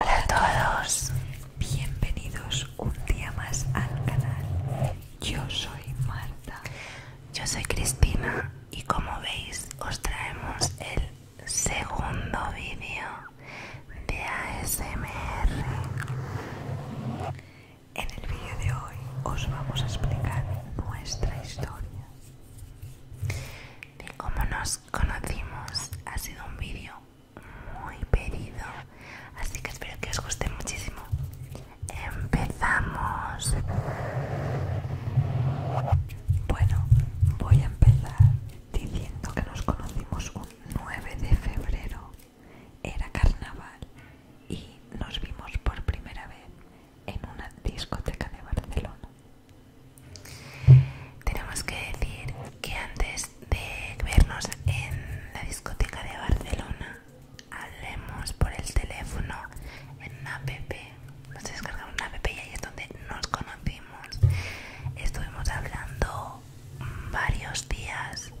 Hola a todos, bienvenidos un día más al canal. Yo soy Marta, yo soy Cristina y como veis os traemos el segundo vídeo de ASMR. En el vídeo de hoy os vamos a explicar nuestra historia de cómo nos conocimos. Ha sido un vídeo muy pedido, así que espero que os guste muchísimo. Empezamos. Bueno, voy a empezar diciendo que nos conocimos un 9 de febrero era carnaval y nos vimos por primera vez en una discoteca de Barcelona. Tenemos que decir que antes de vernos en la discoteca de Barcelona, hablemos por el teléfono en una app. Nos descargamos una app y ahí es donde nos conocimos. Estuvimos hablando varios días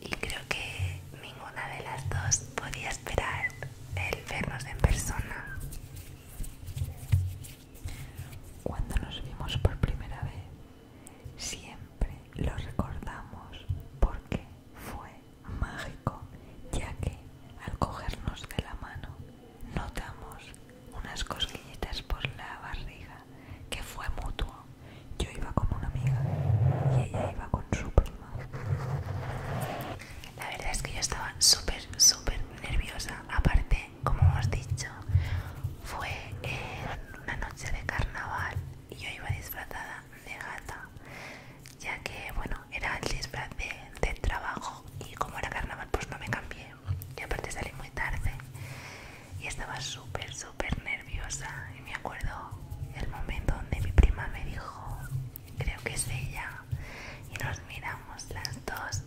y creo que ninguna de las dos podía esperar el vernos en persona. Cuando nos vimos por primera vez, siempre lo recordamos porque fue mágico, ya que al cogernos de la mano notamos unas cosquillitas por la barriga que fue mutuo. Yo iba con una amiga y ella iba con su prima. La verdad es que yo estaba súper, súper nerviosa. Aparte, como hemos dicho, fue en una noche de carnaval y yo iba disfrazada de gata, ya que, bueno, era el disfraz de trabajo y como era carnaval, pues no me cambié. Y aparte salí muy tarde y estaba súper, súper nerviosa. Y me acuerdo el momento donde mi prima me dijo, creo que es ella. Y nos miramos las dos.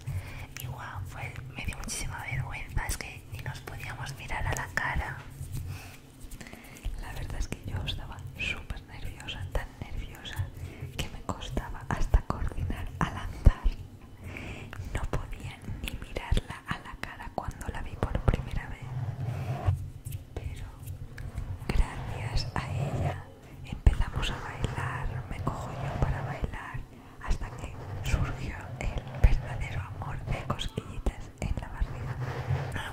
Y wow, me dio muchísima vergüenza, es que ni nos podíamos mirar a la cara. La verdad es que yo estaba súper nerviosa, tan nerviosa que me costaba hasta coordinar a lanzar. No podía ni mirarla a la cara cuando la vi por primera vez. Pero gracias a ella empezamos a bailar, me cojo yo para bailar, hasta que surgió el verdadero amor de cosquillitas en la barriga.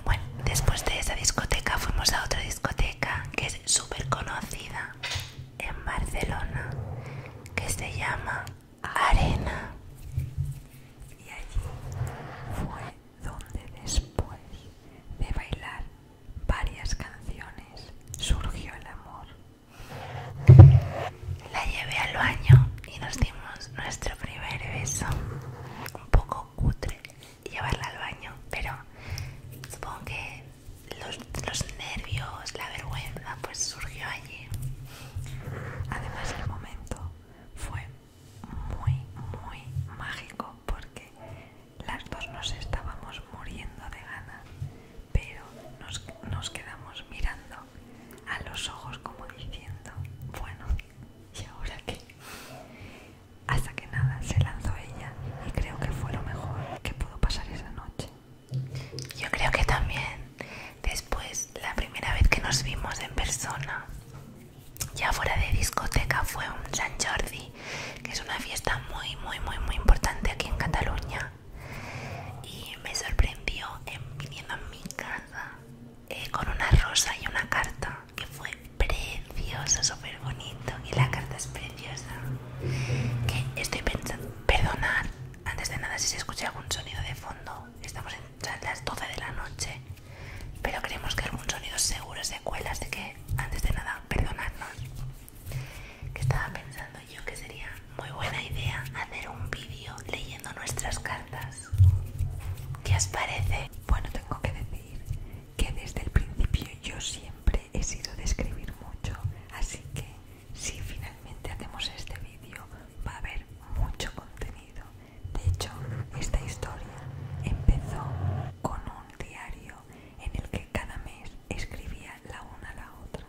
Bueno, después de esa discoteca fuimos a otra discoteca que es súper conocida en Barcelona, que se llama arena. Y allí fue donde después de bailar varias canciones surgió el amor. La llevé al baño y nos dimos nuestro primer beso. Un poco cutre llevarla al baño, pero supongo que los, nervios, la vergüenza, pues surgió allí. Además el momento fue muy, muy mágico porque las dos nos estábamos muriendo de ganas pero nos, nos quedamos mirando a los ojos como diciendo, bueno, ¿y ahora qué? Hasta que nada, se lanzó ella y creo que fue lo mejor que pudo pasar esa noche. Yo creo que también Después, la primera vez que nos vimos en persona, ya fuera de discoteca, fue un San Jordi, que es una fiesta muy, muy, muy, muy importante aquí en Cataluña. Y me sorprendió viniendo a mi casa eh, con una rosa y una carta, que fue preciosa, súper bonito. Y la carta es preciosa. Que estoy pensando, perdonad, antes de nada, si se escucha algún sonido de fondo, estamos en tras las 12 de la noche, pero creemos que algún sonido seguro se cuelas así que antes de nada, perdonarnos. Que estaba pensando yo que sería muy buena idea hacer un vídeo leyendo nuestras cartas. ¿Qué os parece? Bueno, tengo que decir que desde el principio yo siempre he sido de escribir mucho, así que si finalmente hacemos este vídeo va a haber mucho contenido. De hecho, esta historia empezó con un diario en el que cada mes escribía la una a la otra.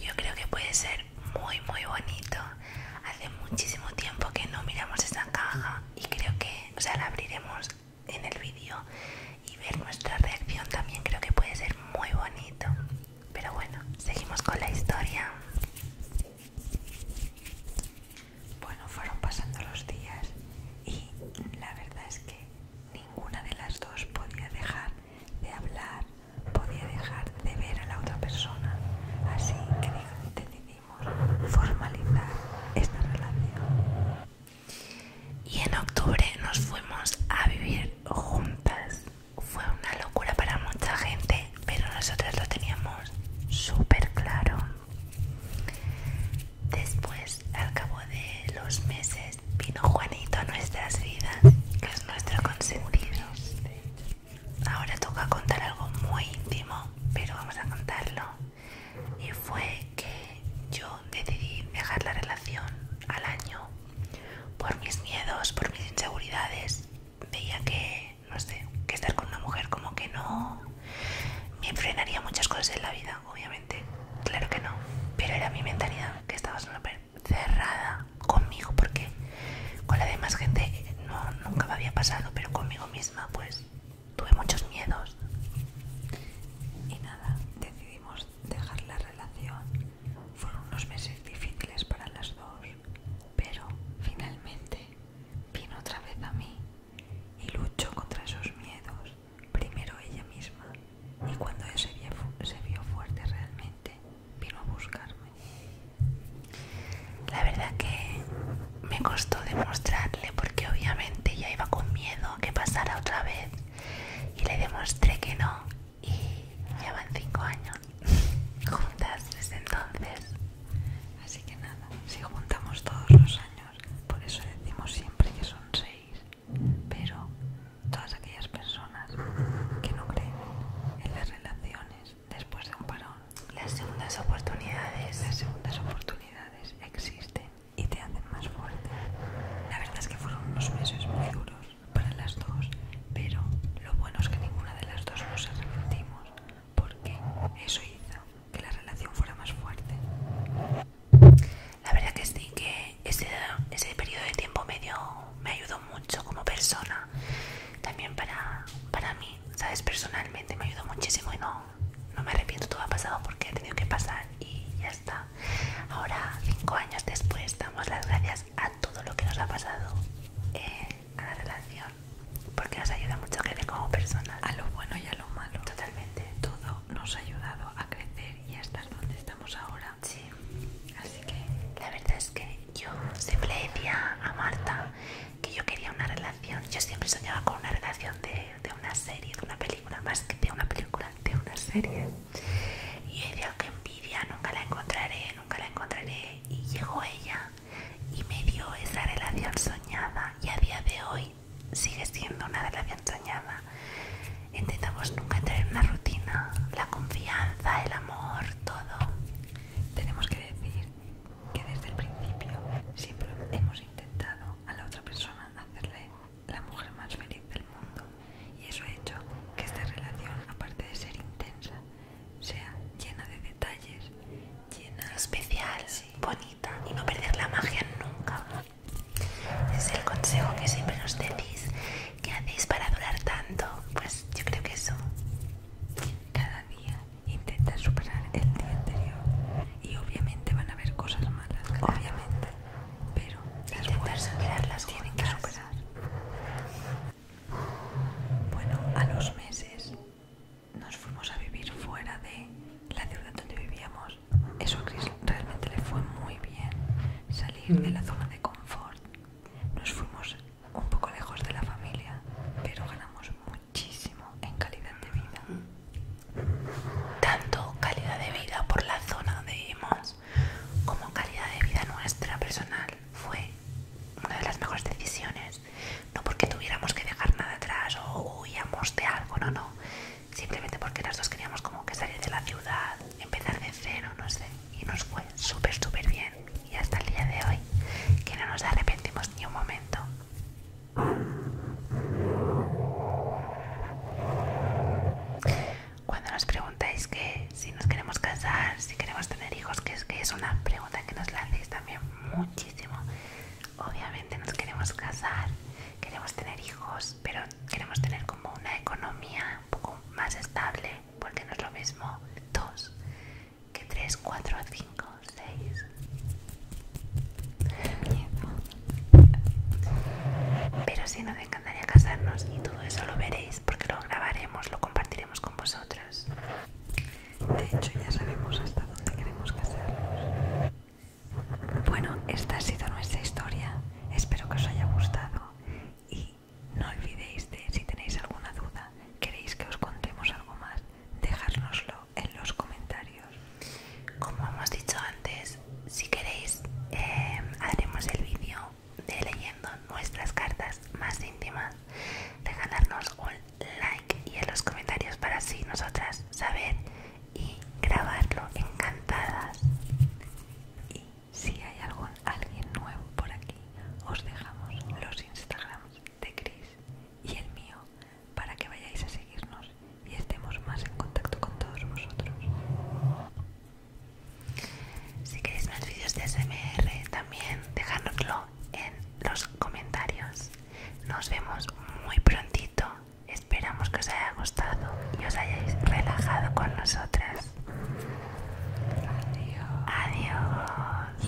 Yo creo que puede ser muy muy bonito. Hace muchísimo tiempo que no miramos esta caja y creo que, o sea, la abriremos en el vídeo y ver nuestra reacción también creo que puede ser muy bonito. Pero bueno, seguimos con la historia. Bueno, fueron pasando los días y la verdad es que ninguna de las dos podía dejar de hablar, podía dejar de ver a la otra persona. Así que decidimos formalizar esta relación. Y en octubre nos fuimos a vivir juntas fue una locura para mucha gente, pero nosotros lo teníamos súper claro. Después, al cabo de los meses, vino Juanito a nuestras vidas, que es nuestro consentido. Ahora toca contar algo muy íntimo, pero vamos a contarlo. Y fue que yo decidí dejar la relación al año por mis miedos, por mis inseguridades, veía que, no sé, que estar con una mujer como que no me frenaría muchas cosas en la vida, obviamente, claro que no, pero era mi mentalidad que estaba cerrada conmigo porque con la demás gente nunca me había pasado, pero conmigo misma pues tuve muchos miedos. Y nada, decidimos dejar la relación fueron unos meses difíciles para las dos, pero finalmente vino otra vez a mí y luchó contra esos miedos, primero ella misma, y cuando ella se vio, fuerte realmente, vino a buscarme. La verdad que me costó demostrarle porque obviamente ella iba con miedo a que pasara otra vez y le demostré que no, y llevan cinco años juntas desde entonces. Así que nada, si juntamos todos los años, por eso decimos siempre que son seis pero todas aquellas personas que no creen en las relaciones después de un parón, las segundas oportunidades, las segundas oportunidades existen y te hacen más fuerte. La verdad es que fueron unos meses muy duros para las dos, pero lo bueno es que ninguna de las dos nos arrepentimos, porque eso hizo que la relación fuera más fuerte. La verdad que sí, que ese, ese periodo de tiempo me, me ayudó mucho como persona, también para, para mí, ¿sabes? Personalmente me ayudó muchísimo y no, no me arrepiento, todo ha pasado porque ha tenido que pasar y ya está. Ahora, cinco años después, damos las gracias a todo lo que nos ha pasado en la relación, porque nos ayuda mucho a crecer como personas. A lo bueno y a lo malo. Totalmente. Todo nos ha ayudado a crecer y a estar donde estamos ahora. Sí. Así que la verdad es que yo siempre decía a Marta que yo quería una relación. Yo siempre soñaba con una relación de, de una serie, de una película, más que de una película, de una serie y ella que envidia nunca la encontraré nunca la encontraré y llegó ella y me dio esa relación soñada y a día de hoy sigue siendo una relación soñada intentamos nunca entrar una rutina la confianza el amor todo tenemos que decir que desde el principio siempre hemos intentado a la otra persona hacerle la mujer más feliz del mundo y eso ha hecho que esta relación, aparte de ser intensa, sea llena de detalles, llena especial, bonita y no perder la magia nunca. es el consejo que siempre nos decís, que hacéis para durar tanto? Pues yo creo que eso. Cada día intenta superar el día anterior y obviamente van a haber cosas malas, obviamente pero las fuerzas las tienen que superar. Bueno, a los meses nos fuimos a vivir fuera de la ciudad donde vivíamos. Eso a Chris realmente le fue muy bien, salir de mm. la zona de confort. Nos fuimos un poco lejos de la familia, pero ganamos muchísimo en calidad de vida. Mm. Tanto calidad de vida por la zona de Mons como calidad de vida nuestra personal fue una de las mejores decisiones no porque tuviéramos que dejar nada atrás o huíamos de algo no no simplemente porque las dos queríamos como que salir de la ciudad empezar de cero no sé y nos fue súper súper bien y hasta el día de hoy que no nos arrepentimos ni un momento cuando nos preguntáis que si nos queremos casar, si queremos tener hijos, que es, que es una pregunta que nos la hacéis también muchísimo. Obviamente nos queremos casar, queremos tener hijos, pero queremos tener como una economía un poco más estable, porque no es lo mismo dos que tres, cuatro, cinco, seis. Pero sí, nos encantaría casarnos y todo eso lo veréis porque lo grabaremos, lo compartiremos con vosotras De hecho, ya sabemos hasta dónde queremos casarnos. Bueno, esta ha sido nuestra historia. Espero que os haya gustado y no olvidéis de, si tenéis alguna duda, queréis que os contemos algo más, dejárnoslo en los comentarios como hemos dicho antes si queréis em, haremos el vídeo de leyendo nuestras cartas más íntimas dejarnos un like y en los comentarios para así nosotras saber y grabarlo encantadas y si hay algún alguien nuevo por aquí os dejamos los instagrams de Chris y el mío para que vayáis a seguirnos y estemos más en contacto con todos vosotros. Si queréis más vídeos de SMR también dejadnoslo en los comentarios. Nos vemos muy prontito. Esperamos que os haya gustado y os hayáis relajado con nosotras. Adiós. Adiós.